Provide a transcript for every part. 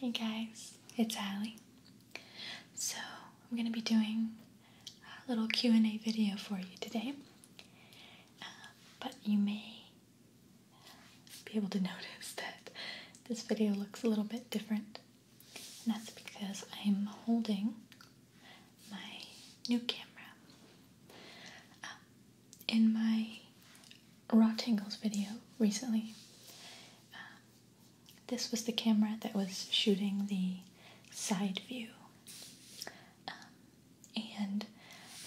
Hey guys, it's Allie. So I'm going to be doing a little Q&A video for you today, uh, but you may be able to notice that this video looks a little bit different. And that's because I'm holding my new camera. Um, in my Raw Tangles video recently, um, this was the camera that was shooting the side view. Um, and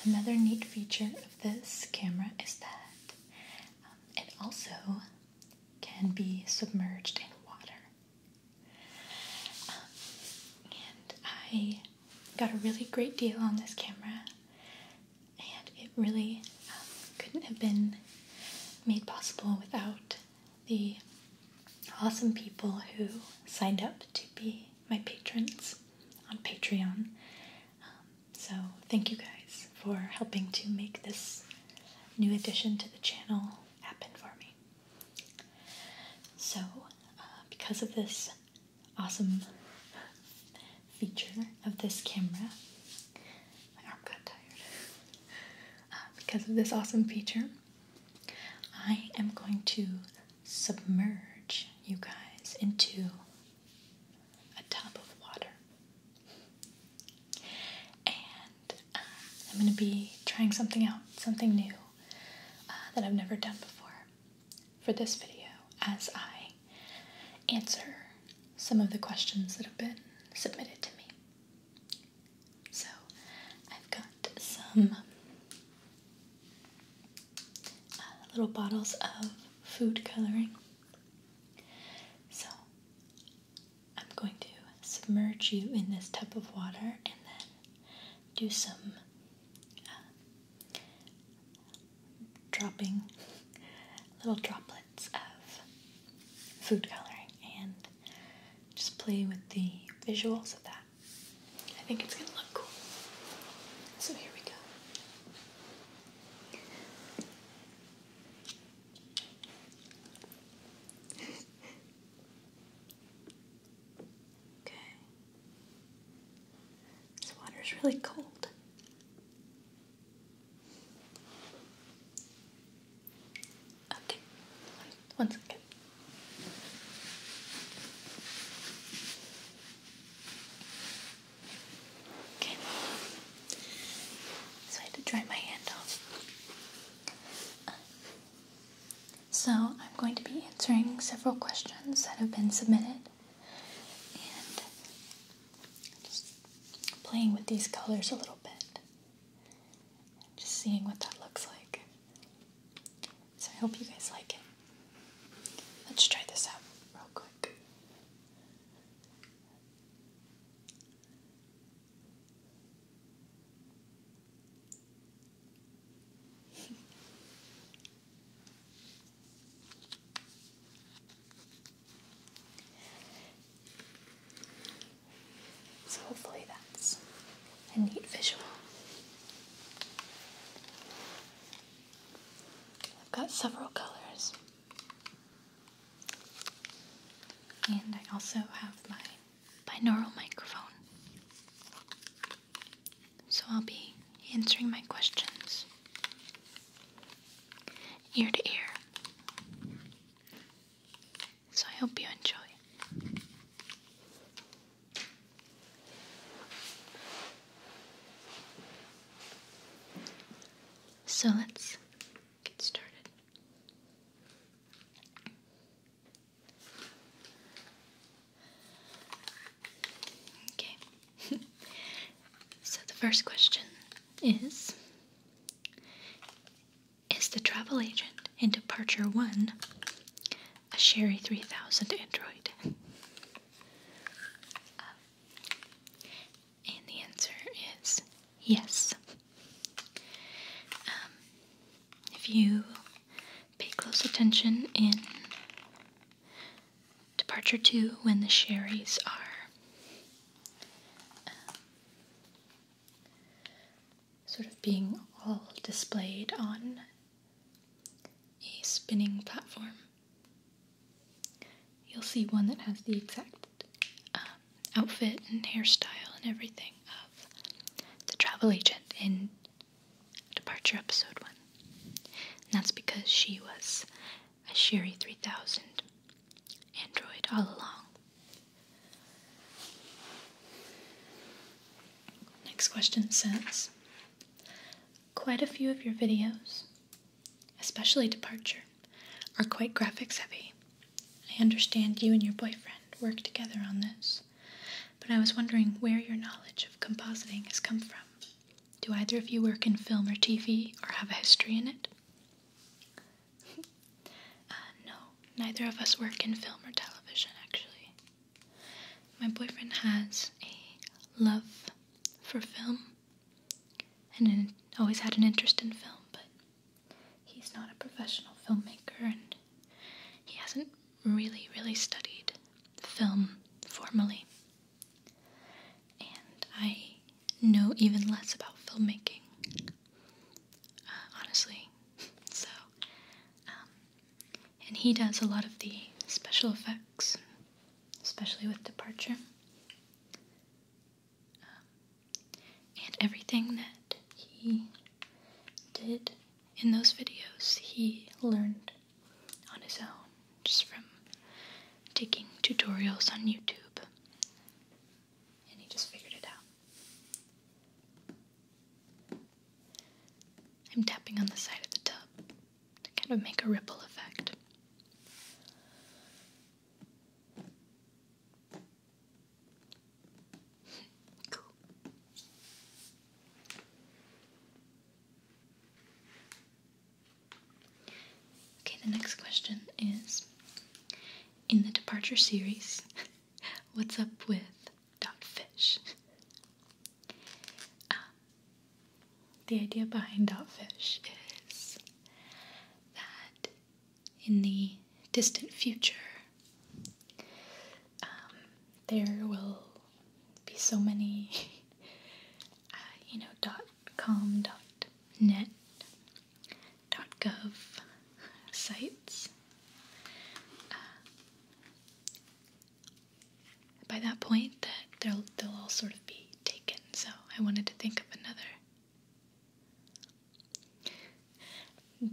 another neat feature of this camera is that it also can be submerged in water. Um, and I got a really great deal on this camera, and it really um, couldn't have been made possible without the awesome people who signed up to be my patrons on Patreon. Um, so, thank you guys for helping to make this new addition to the channel happen for me. So, uh, because of this awesome feature of this camera, my arm got tired. Uh, because of this awesome feature, I am going to submerge you guys into a tub of water. And uh, I'm going to be trying something out, something new uh, that I've never done before for this video as I answer some of the questions that have been submitted to me. So I've got some uh, little bottles of food coloring so I'm going to submerge you in this tub of water and then do some uh, dropping little droplets of food coloring and just play with the visuals of that. I think it's going to look cool. So here we go okay. This is really cold. Okay, one, one second. Okay. So I had to dry my hand off. so I'm going to be answering several questions that have been submitted and just playing with these colors a little bit. Just seeing what that looks like. So I hope you guys like it. Let's try this out real quick so, hopefully, that's a neat visual. I've got several colors. And I also have my binaural microphone. So I'll be answering my questions ear to ear. So I hope you enjoy. So let's get started. Okay. so the first question is Is the travel agent in Departure 1 a Sherry 3000 android? And the answer is yes. Um, if you pay close attention in Departure 2 when the sherries are um, sort of being all displayed on a spinning platform. You'll see one that has the exact um, outfit and hairstyle and everything of the travel agent in Departure Episode 1. that's because she was a Sherry 3000 android all along. Next question says Quite a few of your videos especially Departure, are quite graphics heavy. I understand you and your boyfriend work together on this, but I was wondering where your knowledge of compositing has come from. Do either of you work in film or TV or have a history in it? Uh, no, neither of us work in film or television, actually. My boyfriend has a love for film and in, always had an interest in film, but he's not a professional filmmaker and he hasn't really, really studied film formally. And I know even less about filmmaking, uh, honestly. so, um, and he does a lot of the special effects, especially with Departure. Um, and everything that he did in those videos, he learned on his own, just from taking tutorials on YouTube. And he just figured it out. I'm tapping on the side of the tub to kind of make a ripple effect. Okay, the next question is In the Departure series, what's up with Dot Fish? Uh, the idea behind Dogfish is that in the distant future, um, there will be so many, uh, you know, dot com, dot net, dot gov sites. Uh, by that point, that they'll they'll all sort of be taken so I wanted to think of another,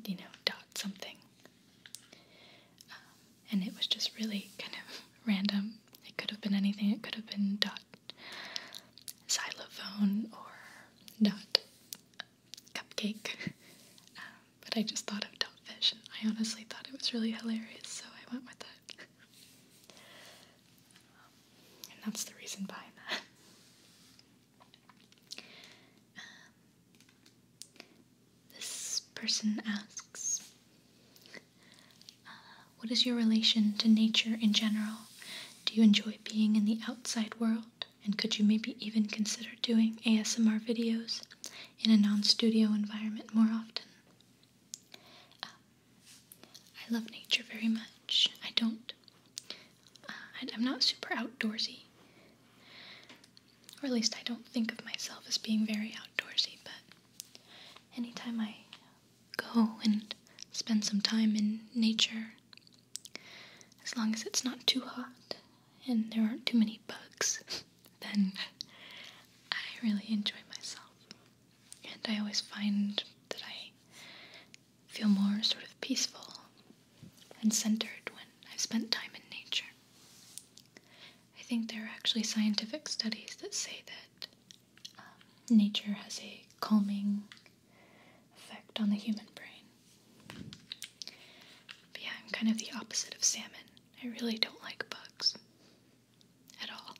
you know, dot something. Um, and it was just really kind of random. It could have been anything. It could have been dot xylophone or dot cupcake. Um, but I just thought of dotfish. and I honestly thought it was really hilarious, so I went with it and that's the reason behind that. Um, this person asks uh, What is your relation to nature in general? Do you enjoy being in the outside world? And could you maybe even consider doing ASMR videos in a non studio environment more often? Um, I love nature very much. I don't. Uh, I'm not super outdoorsy. Or at least I don't think of myself as being very outdoorsy, but anytime I go and spend some time in nature, as long as it's not too hot and there aren't too many bugs, then I really enjoy myself and I always find that I feel more sort of peaceful and centered when I've spent time in nature. I think there are actually scientific studies that say that um, nature has a calming effect on the human brain. But yeah, I'm kind of the opposite of salmon. I really don't like bugs at all.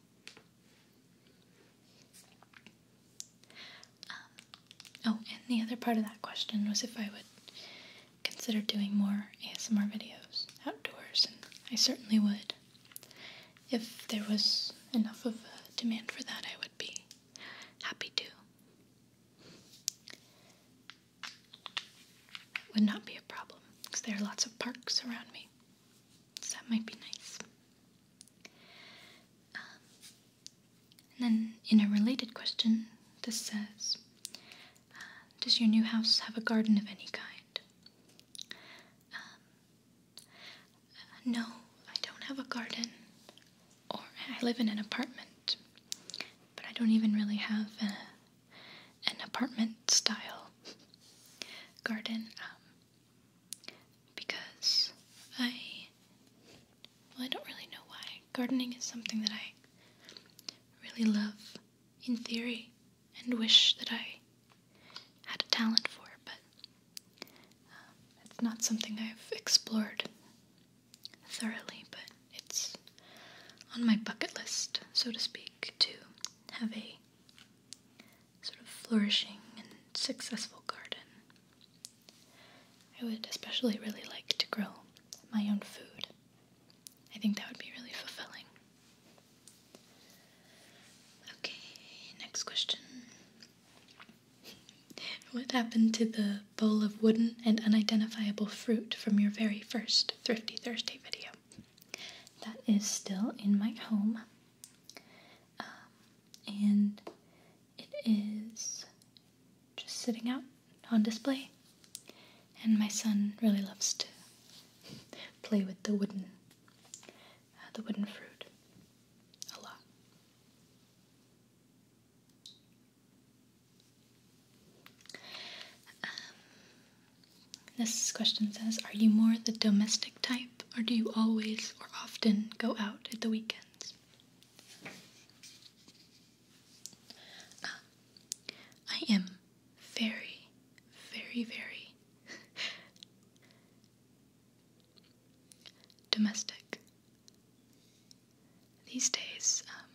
Um, oh, and the other part of that question was if I would consider doing more ASMR videos outdoors, and I certainly would. If there was enough of a demand for that, I would be happy to. Would not be a problem because there are lots of parks around me, so that might be nice and then, in a related question, this says uh, Does your new house have a garden of any kind? Um, no, I don't have a garden. Or I live in an apartment, but I don't even really have uh, an apartment style garden. Um, because I well I don't really know why. Gardening is something that I really love in theory and wish that I had a talent for, but um, it's not something I've explored thoroughly, but it's on my bucket list, so to speak, to have a sort of flourishing and successful garden. I would especially really like to grow my own food. I think that would be really fulfilling. Okay, next question. what happened to the bowl of wooden and unidentifiable fruit from your very first Thrifty Thursday video? That is still in my home. Um, and it is just sitting out on display. And my son really loves to play with the wooden, uh, the wooden fruit a lot. Um, this question says Are you more the domestic type, or do you always or often go out at the weekends? Ah, I am very, very, very domestic. These days, um,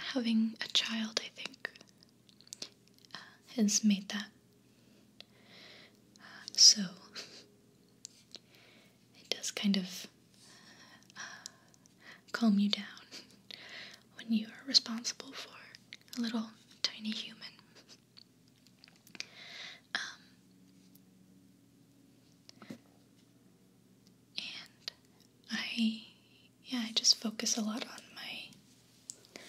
having a child, I think, uh, has made that. so it does kind of calm you down when you are responsible for a little tiny human. Um, and I yeah, I just focus a lot on my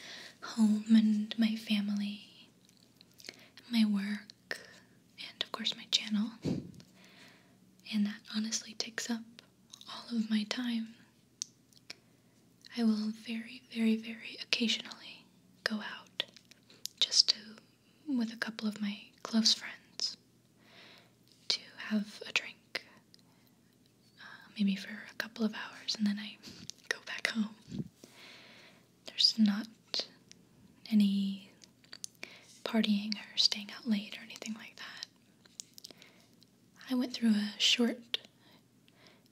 home and my family, and my work, and of course my channel. And that honestly takes up all of my time. I will very, very, very occasionally go out just to, with a couple of my close friends, to have a drink uh, maybe for a couple of hours, and then I go back home. There's not any partying or staying out late or anything like that. I went through a short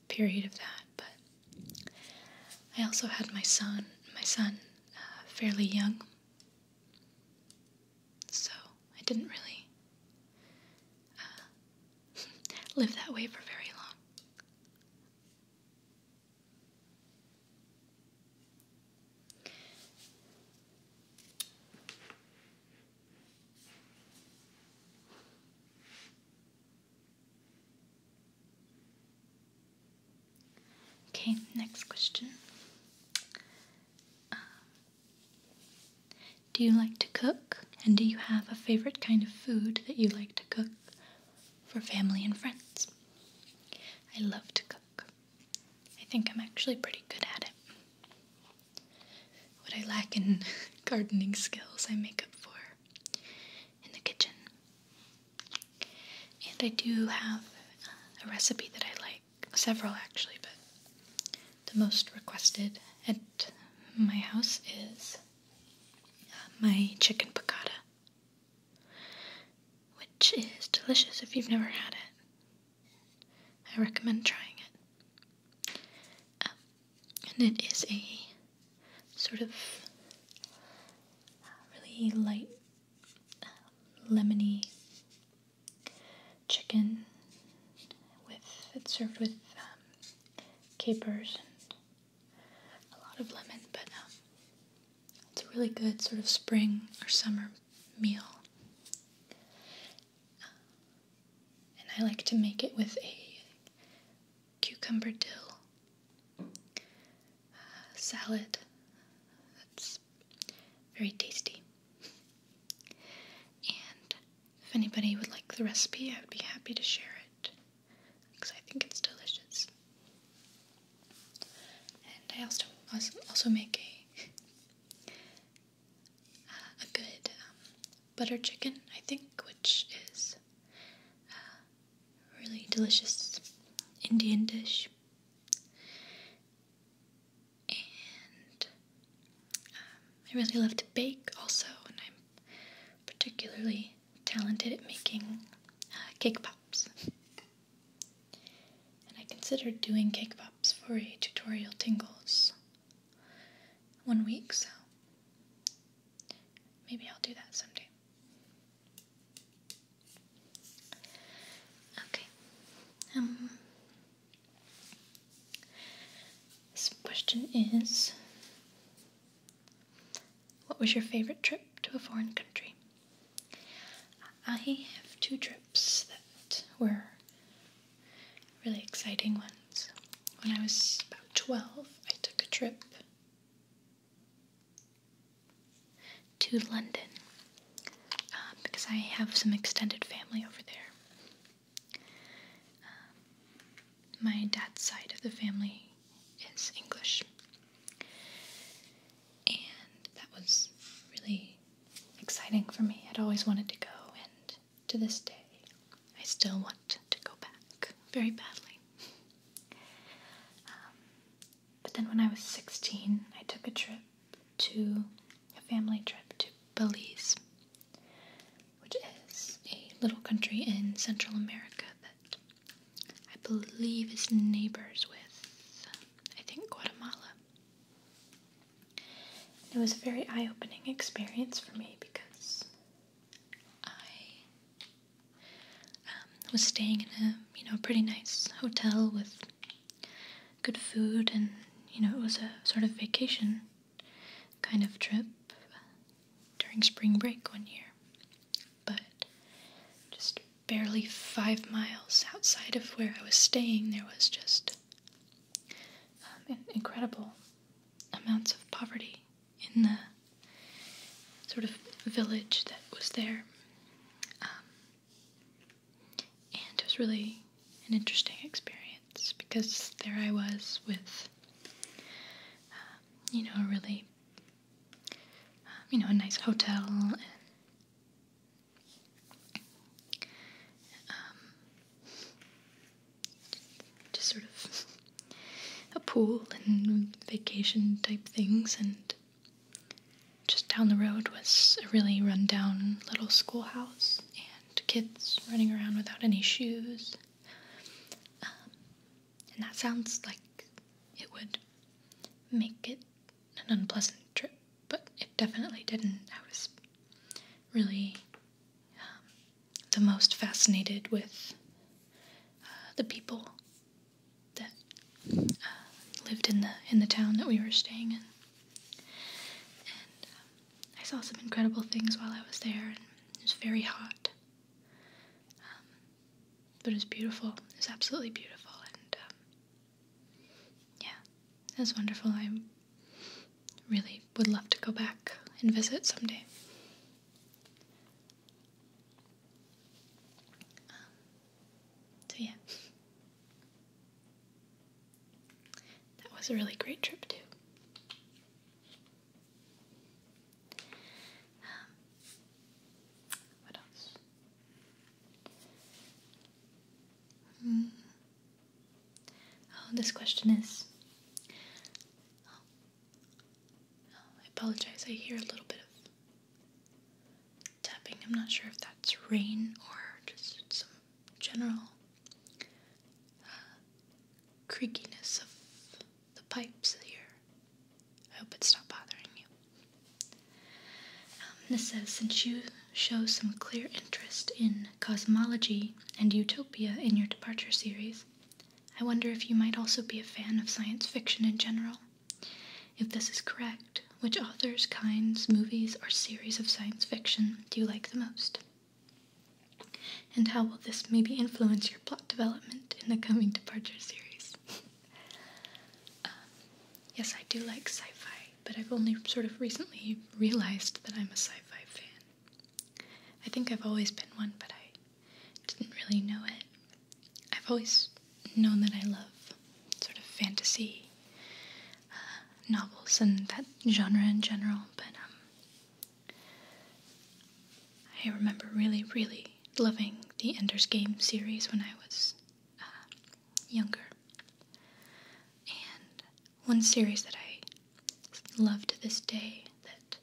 period of that, but I also had my son, my son, uh, fairly young, so I didn't really uh, live that way for very long. Okay, next question. Um, do you like to cook? And do you have a favorite kind of food that you like to cook for family and friends? I love to cook. I think I'm actually pretty good at it. What I lack in gardening skills, I make up for in the kitchen. And I do have uh, a recipe that I like, several actually, but the most requested at my house is uh, my chicken piccata, which is delicious if you've never had it. I recommend trying it. Um, and it is a sort of uh, really light, uh, lemony chicken with it's served with um, capers and a lot of lemon, but um, it's a really good sort of spring or summer meal. Uh, and I like to make it with a cucumber dill uh, salad. That's very tasty. And if anybody would like the recipe, I would be happy to share it because I think it's delicious. And I also also make a uh, a good um, butter chicken, I think, which is uh, really delicious Indian dish and um, I really love to bake also, and I'm particularly talented at making uh, cake pops. and I considered doing cake pops for a tutorial tingles one week, so maybe I'll do that someday. Okay. Um this question is What was your favorite trip to a foreign country? I have two trips that were really exciting ones. When I was about 12, I took a trip to London uh, because I have some extended family over there. Um, my dad's side of the family is English. And that was really exciting for me. I'd always wanted to go, and to this day, I still want to go back very badly. Um, but then when I was 16, I took a trip to a family trip to Belize, which is a little country in Central America that I believe is neighbors with, I think, Guatemala. It was a very eye opening experience for me because I um, was staying in a you know pretty nice hotel with good food and you know it was a sort of vacation kind of trip during spring break one year, but just barely five miles outside of where I was staying, there was just um, incredible amounts of poverty in the sort of village that was there. Um, and it was really an interesting experience because there I was with, um, you know, a really, um, you know, a nice hotel and um, just sort of a pool and vacation type things and just down the road was a really run down little schoolhouse and to kids running around without any shoes. Um, and that sounds like it would make it an unpleasant trip, but it definitely didn't. I was really um, the most fascinated with uh, the people that uh, lived in the in the town that we were staying in, um, I saw some incredible things while I was there, and it was very hot. Um, but it was beautiful. It was absolutely beautiful, and um, yeah, it was wonderful. I really would love to go back and visit someday. Um, so yeah. That was a really great trip, too. Um, what else? Hmm. Oh, this question is. Oh, oh, I apologize. I hear a little bit of tapping. I'm not sure if that's rain or just some general uh, creakiness of the pipes here. I hope it's not bothering you. Um, this says Since you show some clear interest in cosmology and utopia in your departure series, I wonder if you might also be a fan of science fiction in general. If this is correct, which authors, kinds, movies, or series of science fiction do you like the most? And how will this maybe influence your plot development in the coming Departure series? Um, yes, I do like sci fi, but I've only sort of recently realized that I'm a sci fi fan. I think I've always been one, but I didn't really know it. I've always known that I love sort of fantasy, uh, novels and that genre in general, but um, I remember really, really loving the Ender's Game series when I was uh, younger. And one series that I love to this day that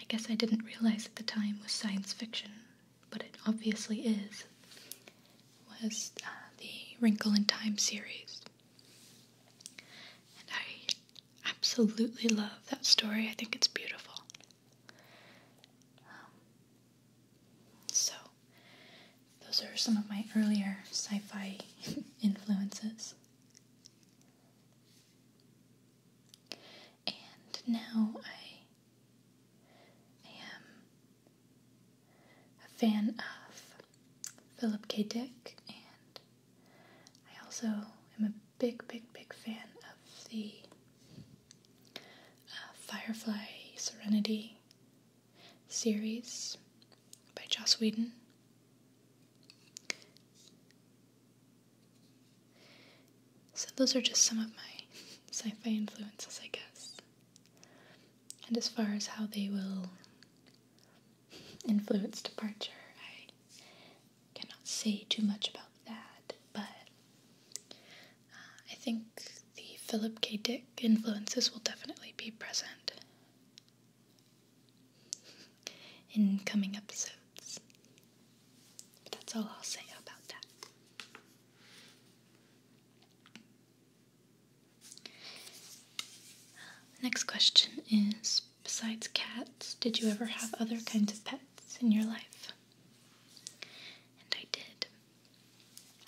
I guess I didn't realize at the time was science fiction, but it obviously is, was uh, the Wrinkle in Time series. And I absolutely love that story. I think it's beautiful. Um, so, those are some of my earlier sci fi influences. And now I am a fan of Philip K. Dick, and I also am a big, big, big fan of the uh, Firefly Serenity series by Joss Whedon. So, those are just some of my sci fi influences, I guess. And as far as how they will influence departure. I cannot say too much about that, but uh, I think the Philip K. Dick influences will definitely be present in coming episodes. that's all I'll say about that. Next question is Besides cats, did you ever have other kinds of pets in your life? And I did.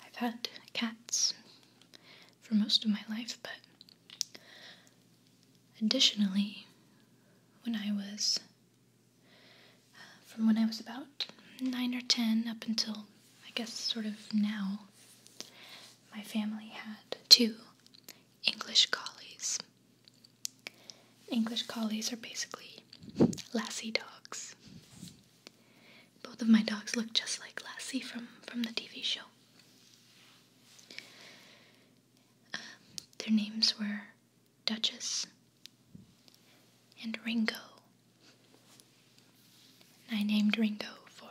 I've had cats for most of my life, but additionally, when I was uh, from when I was about nine or ten up until I guess sort of now, my family had two English collies. English collies are basically lassie dogs. Both of my dogs look just like Lassie from, from the TV show. Um, their names were Duchess and Ringo. I named Ringo for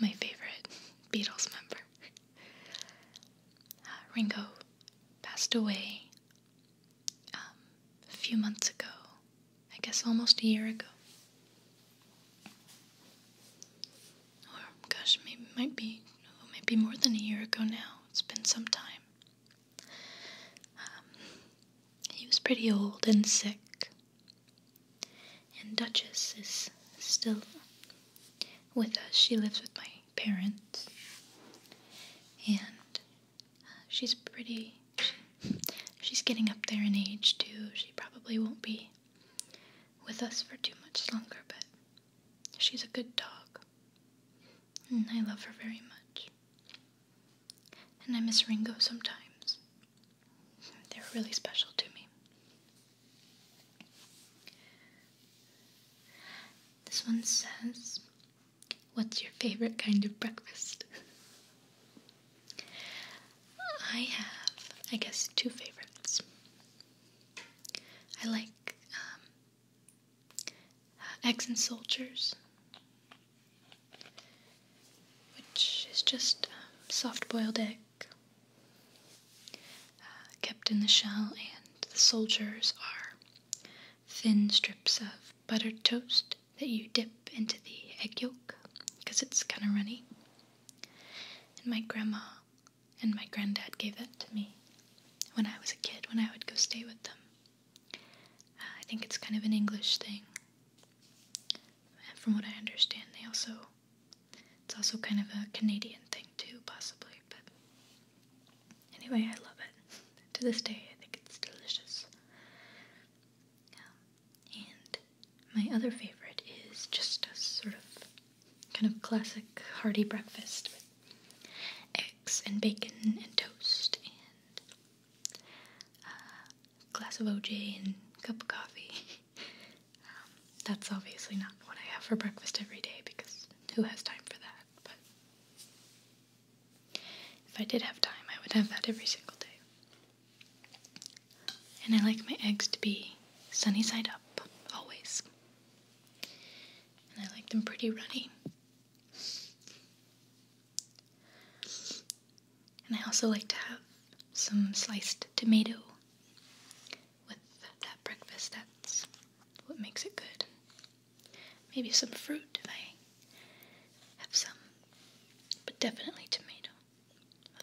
my favorite Beatles member. Uh, Ringo passed away um, a few months ago, I guess almost a year ago. Or, gosh, maybe might be no, more than a year ago now. It's been some time. Um, he was pretty old and sick, and Duchess is still with us. She lives with my parents. And uh, she's pretty. she's getting up there in age too. She probably won't be with us for too much longer, but she's a good dog. And I love her very much. And I miss Ringo sometimes. They're really special to me. This one says, What's your favorite kind of breakfast? I have, I guess, two favorites. I like um, eggs and soldiers, which is just um, soft boiled egg uh, kept in the shell, and the soldiers are thin strips of buttered toast that you dip into the egg yolk because it's kind of runny. And my grandma and my granddad gave it to me when I was a kid when I would go stay with them. Uh, I think it's kind of an English thing. Uh, from what I understand, they also it's also kind of a Canadian thing, too, possibly, but anyway, I love it. to this day, I think it's delicious. Um, and my other favorite is just a sort of kind of classic hearty breakfast with eggs and bacon and toast and a uh, glass of OJ and a cup of coffee. Um, that's obviously not what I have for breakfast every day because who has time for that? But if I did have time, I would have that every single day. And I like my eggs to be sunny side up, always. And I like them pretty runny. And I also like to have some sliced tomato with that breakfast. That's what makes it good. Maybe some fruit if I have some, but definitely tomato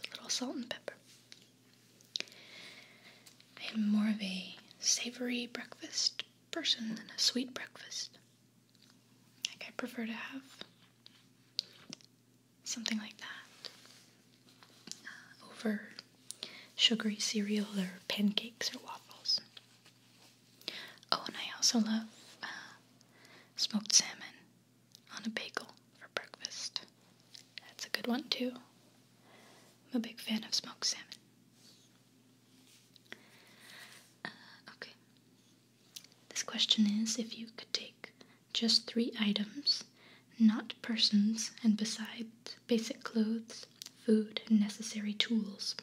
a little salt and pepper. I am more of a savory breakfast person than a sweet breakfast. Like, I prefer to have something like that, uh, over sugary cereal or pancakes or waffles. Oh, and I also love uh, smoked salmon on a bagel for breakfast. That's a good one, too. I'm a big fan of smoked salmon. Uh, okay. This question is if you could take just three items, not persons, and besides basic clothes, food, and necessary tools,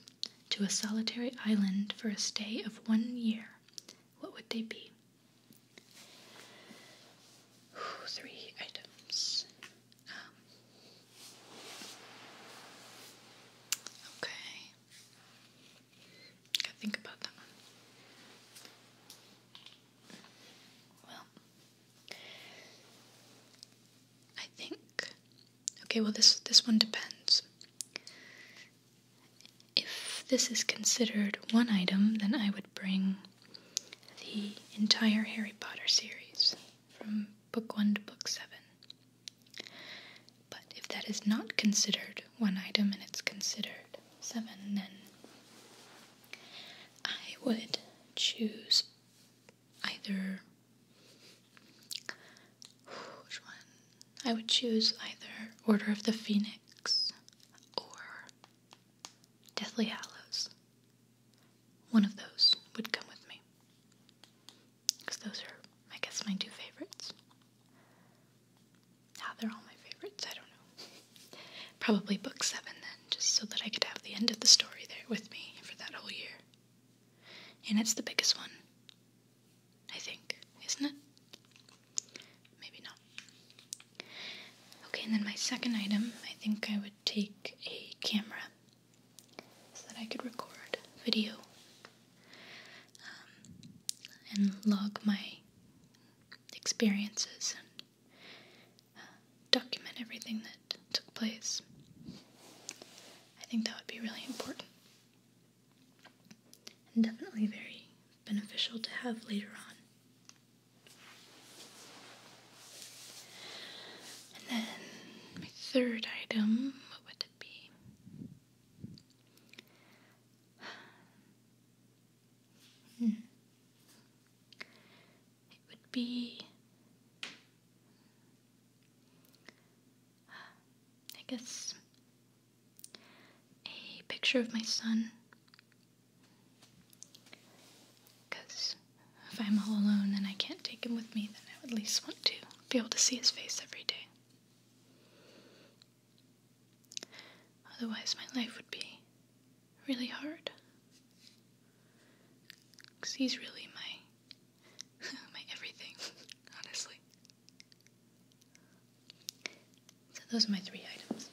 to a solitary island for a stay of one year, what would they be? Three items. Um, okay. Gotta think about that one. Well, I think. Okay, well this this one depends. If this is considered one item, then I would bring the entire Harry Potter series from book 1 to book 7. But if that is not considered one item and it's considered 7, then I would choose either. Which one? I would choose either Order of the Phoenix or Deathly Hallows. One of those would come with me. Because those are, I guess, my two favorites. Now they're all my favorites. I don't know. Probably book seven then, just so that I could have the end of the story there with me for that whole year. And it's the biggest one, I think, isn't it? Maybe not. Okay, and then my second item, I think I would take a camera so that I could record video um, and log my experiences uh, document everything that took place. I think that would be really important and definitely very beneficial to have later on. And then my third item, what would it be? It would be. I guess a picture of my son. Because if I'm all alone and I can't take him with me, then I would at least want to be able to see his face every day. Otherwise, my life would be really hard. Because he's really my, my everything, honestly. So, those are my three items.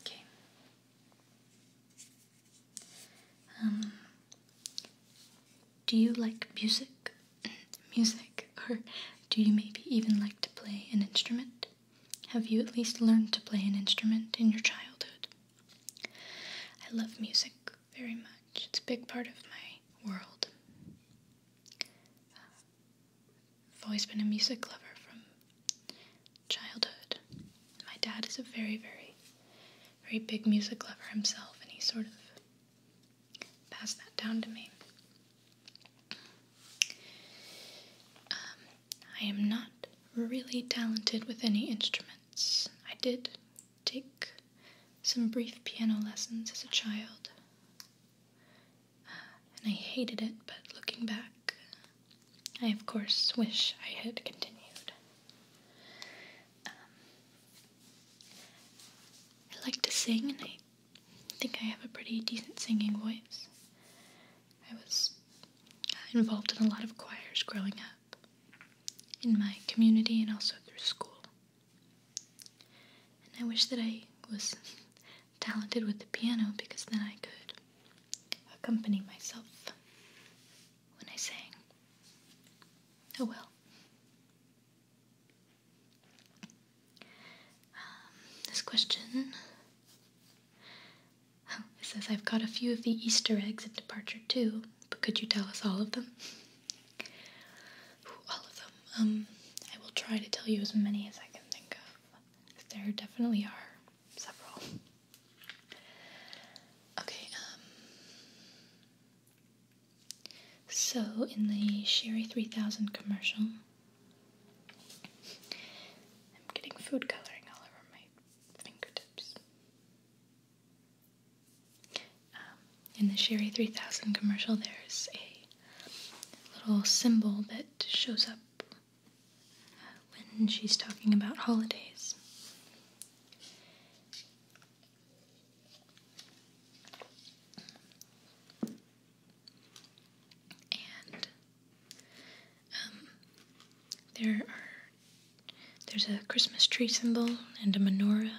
Okay. Um, do you like music? music, or do you maybe even like to play an instrument? Have you at least learned to play an instrument in your childhood? I love music very much, it's a big part of my world. I've always been a music lover from childhood. My dad is a very, very, very big music lover himself, and he sort of pass that down to me. Um, I am not really talented with any instruments. I did take some brief piano lessons as a child, uh, and I hated it, but looking back, I of course wish I had continued. Um, I like to sing, and I I think I have a pretty decent singing voice. I was uh, involved in a lot of choirs growing up in my community and also through school. And I wish that I was talented with the piano because then I could accompany myself when I sang. Oh well. Um, this question. Oh, says, I've got a few of the Easter eggs at departure too, but could you tell us all of them? all of them. Um, I will try to tell you as many as I can think of. There definitely are several. Okay, um, so, in the Sherry 3000 commercial, I'm getting food coloring all over my fingertips. Um, in the Sherry 3000 commercial, there's a little symbol that shows up uh, when she's talking about holidays and um, there are there's a Christmas tree symbol and a menorah, and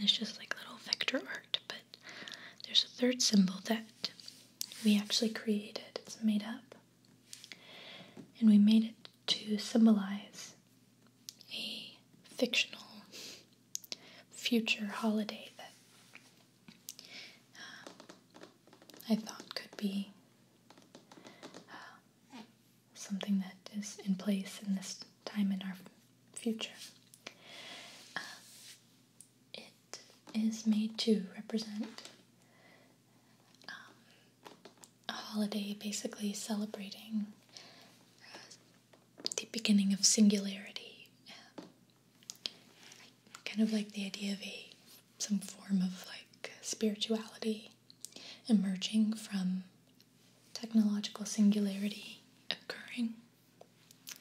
it's just like little vector art. But there's a third symbol that we actually created. It's made up, and we made it to symbolize a fictional future holiday that um, I thought could be uh, something that is in place in this time in our future. Um, it is made to represent um, a holiday basically celebrating uh, the beginning of singularity. Um, kind of like the idea of a some form of like spirituality emerging from technological singularity occurring.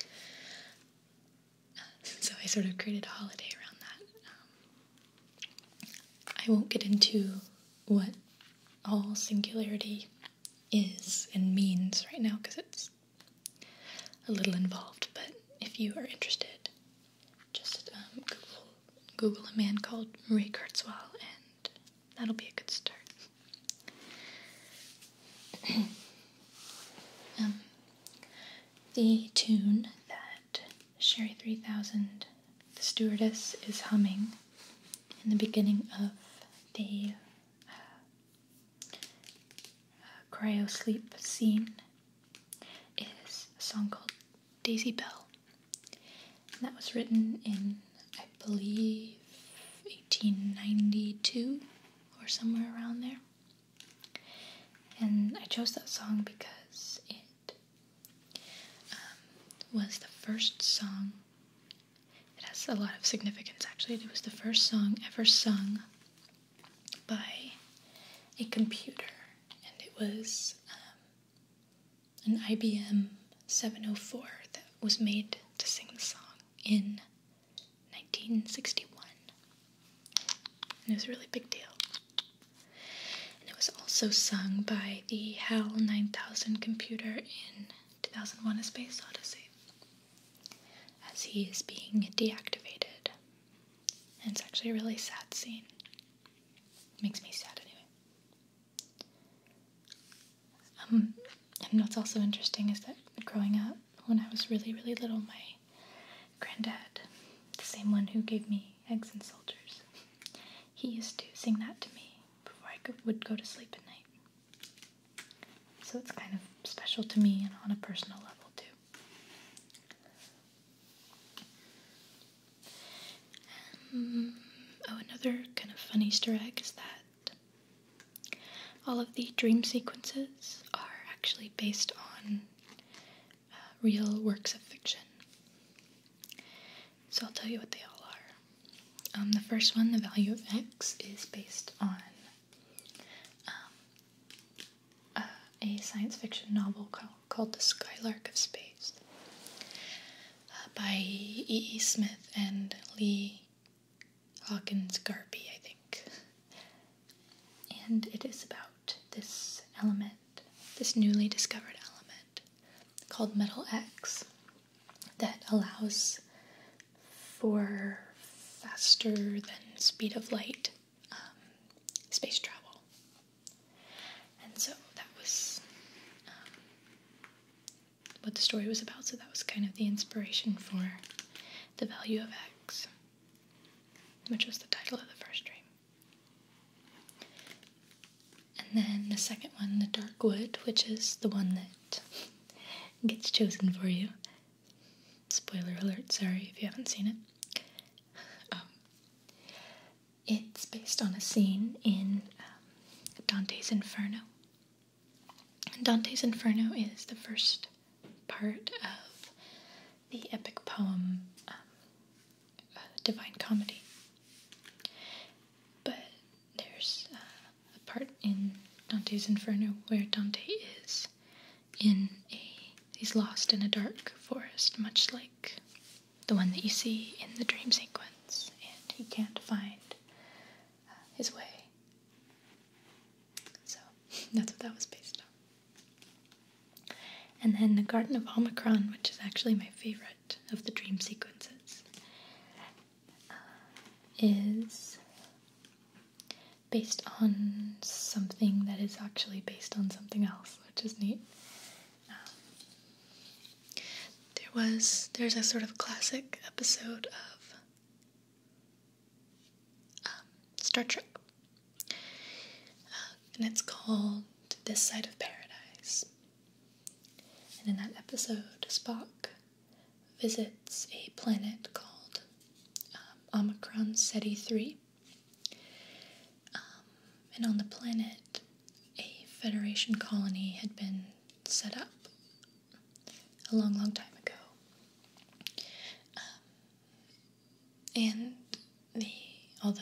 so I sort of created a holiday around that. Um, I won't get into what all singularity is and means right now because it's a little involved, but if you are interested, just um, Google, Google a man called Marie Kurzweil, and that'll be a good start. Um, the tune that Sherry 3000, the stewardess, is humming in the beginning of the uh, uh, cryo sleep scene is a song called Daisy Bell. And that was written in, I believe, 1892 or somewhere around there. And I chose that song because it um, was the first song it has a lot of significance actually. It was the first song ever sung by a computer, and it was um, an IBM 704 that was made to sing the song in 1961. And it was a really big deal. And it was also sung by the HAL 9000 computer in 2001 A Space Odyssey as he is being deactivated. And it's actually a really sad scene. makes me sad anyway. Um, and what's also interesting is that growing up, when I was really, really little, my granddad, the same one who gave me eggs and soldiers, he used to sing that to me before I would go to sleep at night. So it's kind of special to me and on a personal level too. Um, oh, another kind of fun Easter egg is that all of the dream sequences are actually based on uh, real works of fiction. So I'll tell you what they all are. Um, the first one, the value of x, is based on um, a science fiction novel called, The Skylark of Space uh, by E.E. Smith and Lee Hawkins Garpy, I think. And it is about this element, this newly discovered element called Metal X that allows for faster than speed of light um, space travel. And so that was um, what the story was about. So that was kind of the inspiration for the value of X, which was the title of the first dream. And then the second one, the Dark Wood, which is the one that gets chosen for you. Spoiler alert, sorry if you haven't seen it. Um, it's based on a scene in um, Dante's Inferno. Dante's Inferno is the first part of the epic poem um, uh, Divine Comedy. But there's uh, a part in Dante's Inferno where Dante is in a he's lost in a dark forest, much like the one that you see in the dream sequence, and he can't find uh, his way. So that's what that was based on. And then the Garden of Omicron, which is actually my favorite of the dream sequences is based on something that is actually based on something else, which is neat. Um, there was there's a sort of classic episode of um, Star Trek, uh, and it's called "This Side of Paradise." And in that episode, Spock visits a planet called um, Omicron SETI 3. Um, and on the planet, a Federation colony had been set up a long, long time ago. Um, and the, all the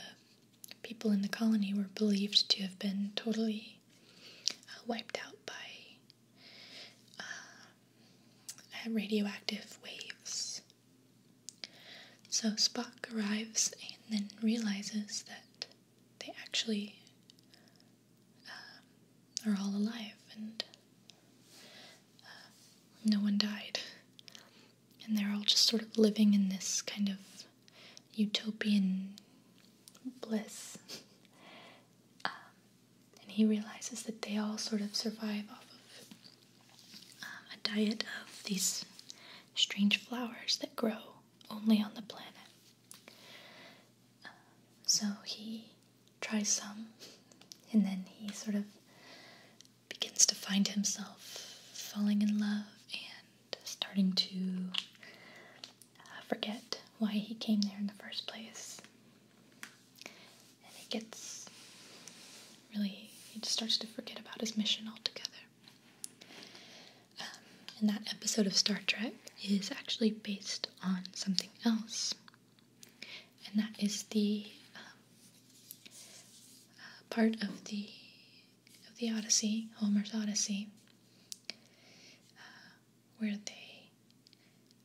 people in the colony were believed to have been totally uh, wiped out by um, uh, radioactive waves. So Spock arrives and then realizes that they actually um, are all alive and uh, no one died. And they're all just sort of living in this kind of utopian bliss. Um, and he realizes that they all sort of survive off of um, a diet of these strange flowers that grow only on the planet. Um, so he tries some, and then he sort of begins to find himself falling in love and starting to uh, forget why he came there in the first place. And he gets really, he just starts to forget about his mission altogether. Um, and that episode of Star Trek is actually based on something else, and that is the um, uh, part of the of the Odyssey, Homer's Odyssey, uh, where they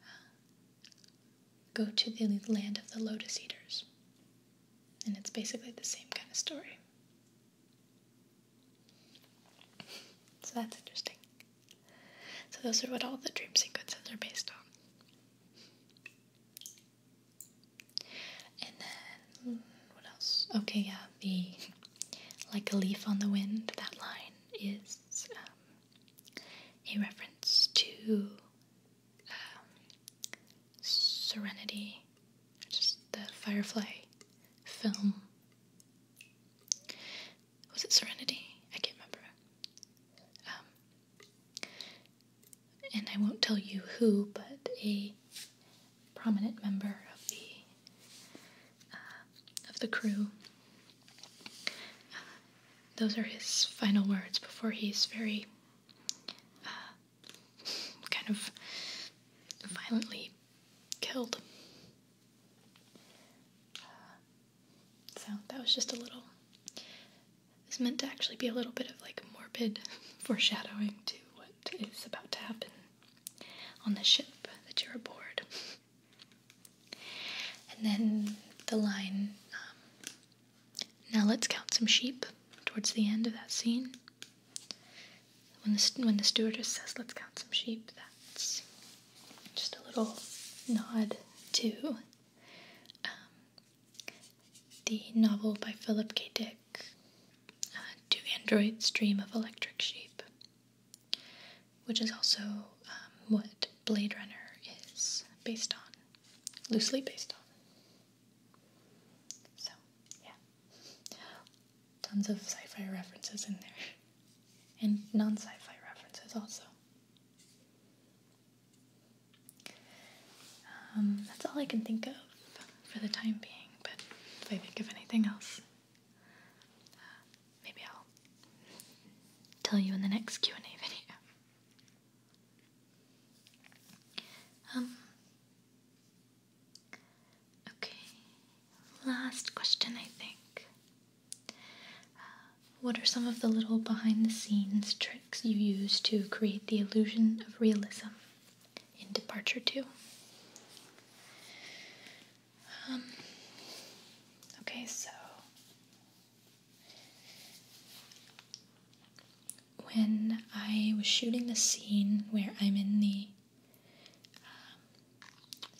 uh, go to the land of the lotus eaters. And it's basically the same kind of story. So that's interesting. So those are what all the dream sequences are based on. And then what else? Okay, yeah, the like a leaf on the wind, that line is um, a reference to um, Serenity, just the Firefly film. Was it Serenity? I can't remember. Um, and I won't tell you who, but a prominent member of the uh, of the crew uh, those are his final words before he's very uh, kind of violently killed. Uh, so that was just a little. It's meant to actually be a little bit of like morbid foreshadowing to what is about to happen on the ship that you're aboard. And then the line, um, now let's count some sheep, towards the end of that scene. When the, when the stewardess says, let's count some sheep, that's just a little nod to um, the novel by Philip K. Dick, uh, Do Androids Dream of Electric Sheep? which is also um, what Blade Runner is based on, loosely based on. So, yeah. Tons of sci fi references in there, and non sci fi references also. Um, that's all I can think of for the time being, but if I think of anything else, maybe I'll tell you in the next Q&A video. Um, okay, last question, I think. what are some of the little behind the scenes tricks you use to create the illusion of realism in Departure 2? Um, okay, so when I was shooting the scene where I'm in the um,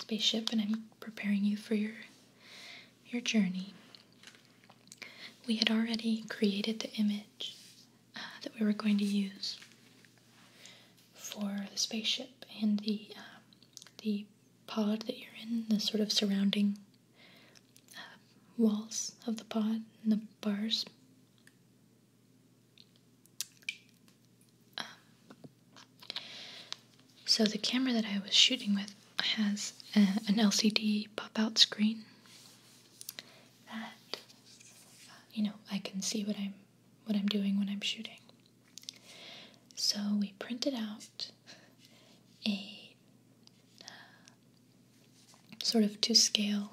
spaceship and I'm preparing you for your your journey, we had already created the image uh, that we were going to use for the spaceship and the um, the pod that you're in, the sort of surrounding uh, walls of the pod and the bars. Um, so the camera that I was shooting with has uh, an LCD pop-out screen that, uh, you know, I can see what I'm what I'm doing when I'm shooting. So we printed out a uh, sort of to scale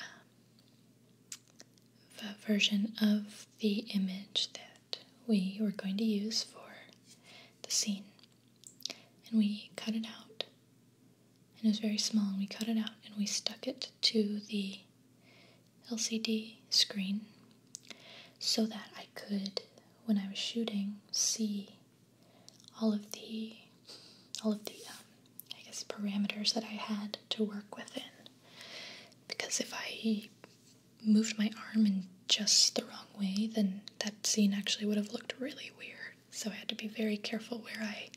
um, version of the image that we were going to use for the scene. And we cut it out. And it was very small, and we cut it out and we stuck it to the LCD screen so that I could, when I was shooting, see all of the all of the um, I guess parameters that I had to work within. Because if I moved my arm in just the wrong way, then that scene actually would have looked really weird. So I had to be very careful where I.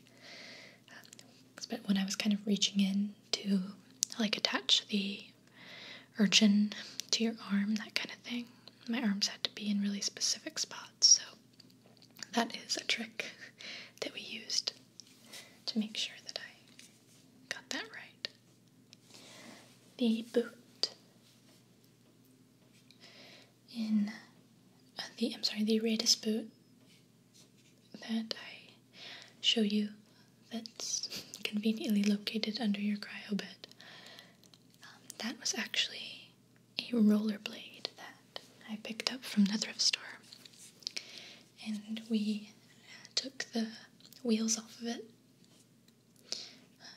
but uh, when I was kind of reaching in to like attach the urchin to your arm, that kind of thing. My arms had to be in really specific spots, so that is a trick that we used to make sure that I got that right. The boot in uh, the I'm sorry, the Aratus boot that I show you that's conveniently located under your cryo bed. Um, that was actually a roller blade that I picked up from the thrift store. And we took the wheels off of it,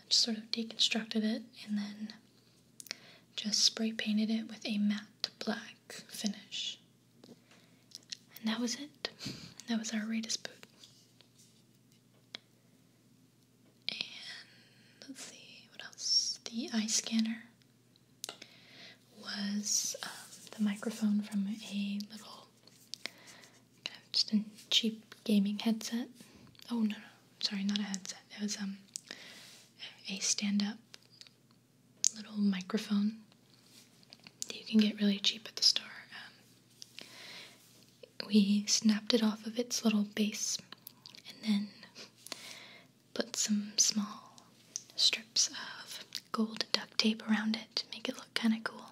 just uh, sort of deconstructed it, and then just spray painted it with a matte black finish. And that was it. That was our Raiders boot. And let's see, what else? The eye scanner was um, the microphone from a little, just a cheap gaming headset. Oh, no, no, sorry, not a headset. It was um, a stand up little microphone you can get really cheap at the store. Um, we snapped it off of its little base and then put some small strips of gold duct tape around it to make it look kind of cool.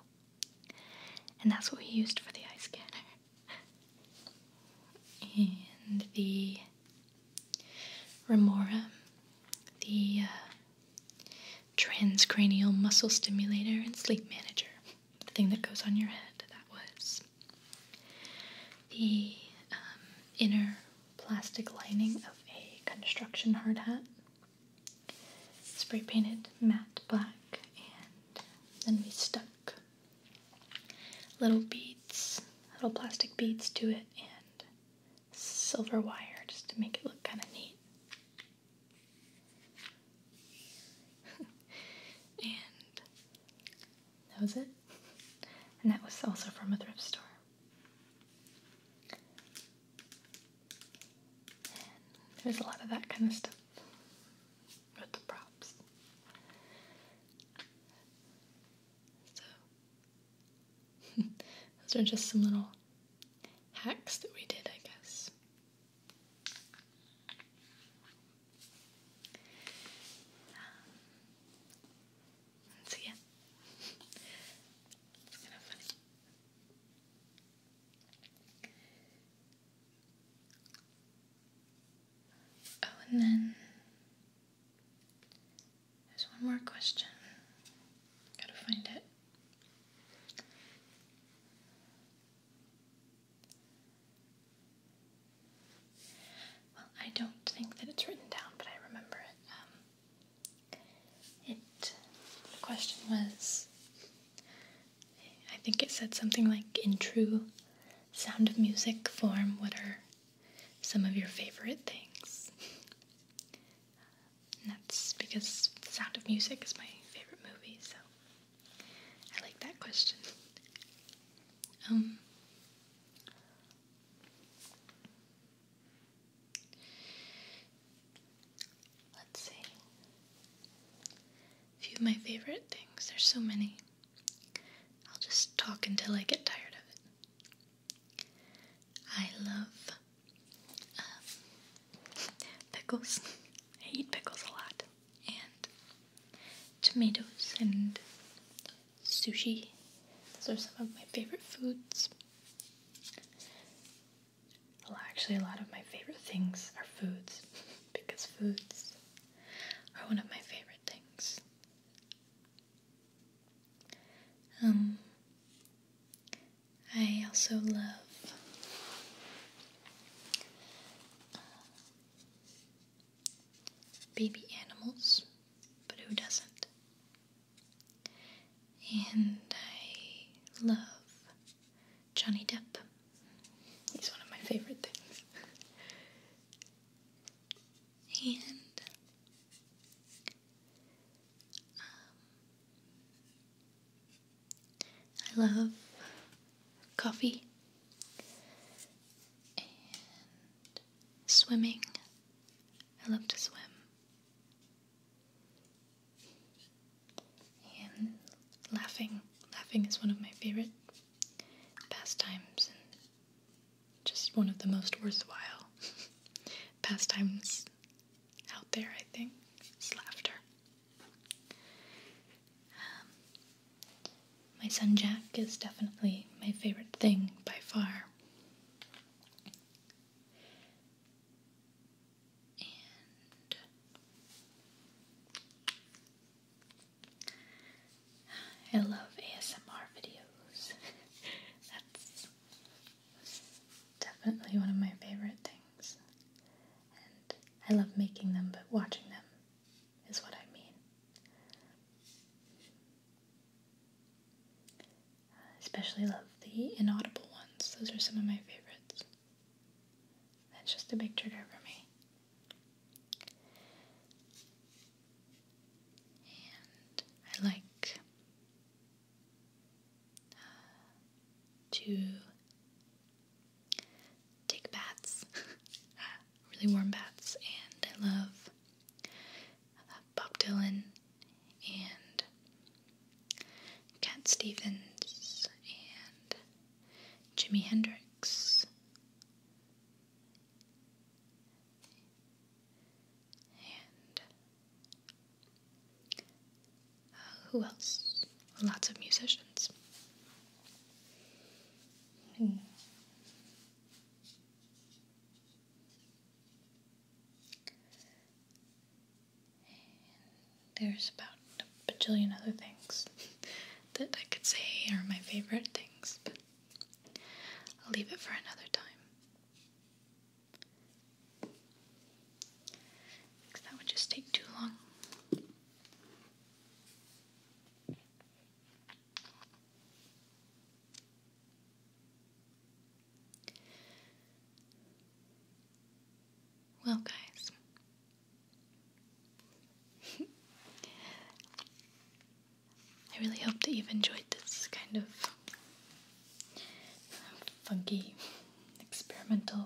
And that's what we used for the eye scanner. And the remora, the uh, transcranial muscle stimulator, and sleep manager. The thing that goes on your head, that was. The um, inner plastic lining of a construction hard hat, spray painted matte black, and then we stuck little beads, little plastic beads to it, and silver wire just to make it look kind of neat. and that was it. And that was also from a thrift store. there's a lot of that kind of stuff with the props. So those are just some little hacks that we did, I guess. so yeah, it's kind of funny. Oh, and then there's one more question. Gotta find it. Well, I don't think that it's written down, but I remember it. Um, it the question was, I think it said something like, "In true sound of music form, what are some of your favorite things?" And that's because The Sound of Music is my favorite movie, so I like that question. Um, let's see. A few of my favorite things. There's so many. I'll just talk until I get tired of it. I love um, pickles. I eat pickles a lot, and tomatoes and sushi. Those are some of my favorite foods. Well, actually, a lot of my favorite things are foods because foods are one of my favorite things. Um, I also love uh, baby animals, but who doesn't? And I love Johnny Depp. He's one of my favorite things. and um, I love coffee and swimming. I love to swim. And laughing. Laughing is one of my favorite pastimes just one of the most worthwhile pastimes out there, I think, is laughter. Um, my son Jack is definitely my favorite thing by far. I love ASMR videos. That's Definitely one of my favorite things. And I love making them, but watching them is what I mean. especially love the inaudible ones, those are some of my favorites. That's just a big trigger for me. And I like to take baths, really warm baths, and I love uh, Bob Dylan and Cat Stevens and Jimi Hendrix and uh, who else? Lots of musicians. Hmm. There's about a bajillion other things that I could say are my favorite things, but I'll leave it for another time. Because that would just take too long. Well, guys, I really hope that you've enjoyed this kind of um, funky experimental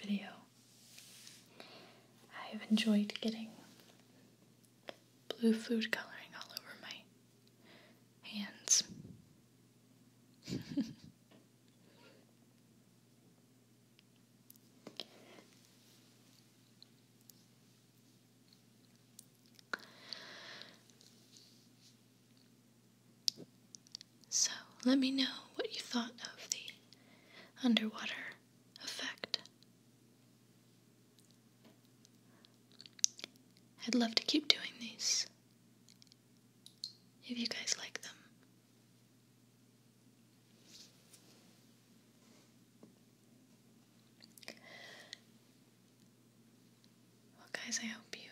video. I've enjoyed getting blue food coloring all over my hands. So let me know what you thought of the underwater effect. I'd love to keep doing these if you guys like them. Well, guys, I hope you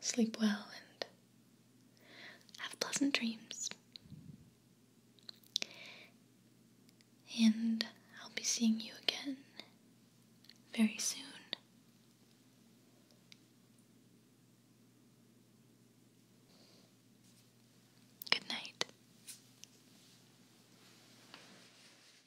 sleep well and have pleasant dreams. And I'll be seeing you again very soon. Good night.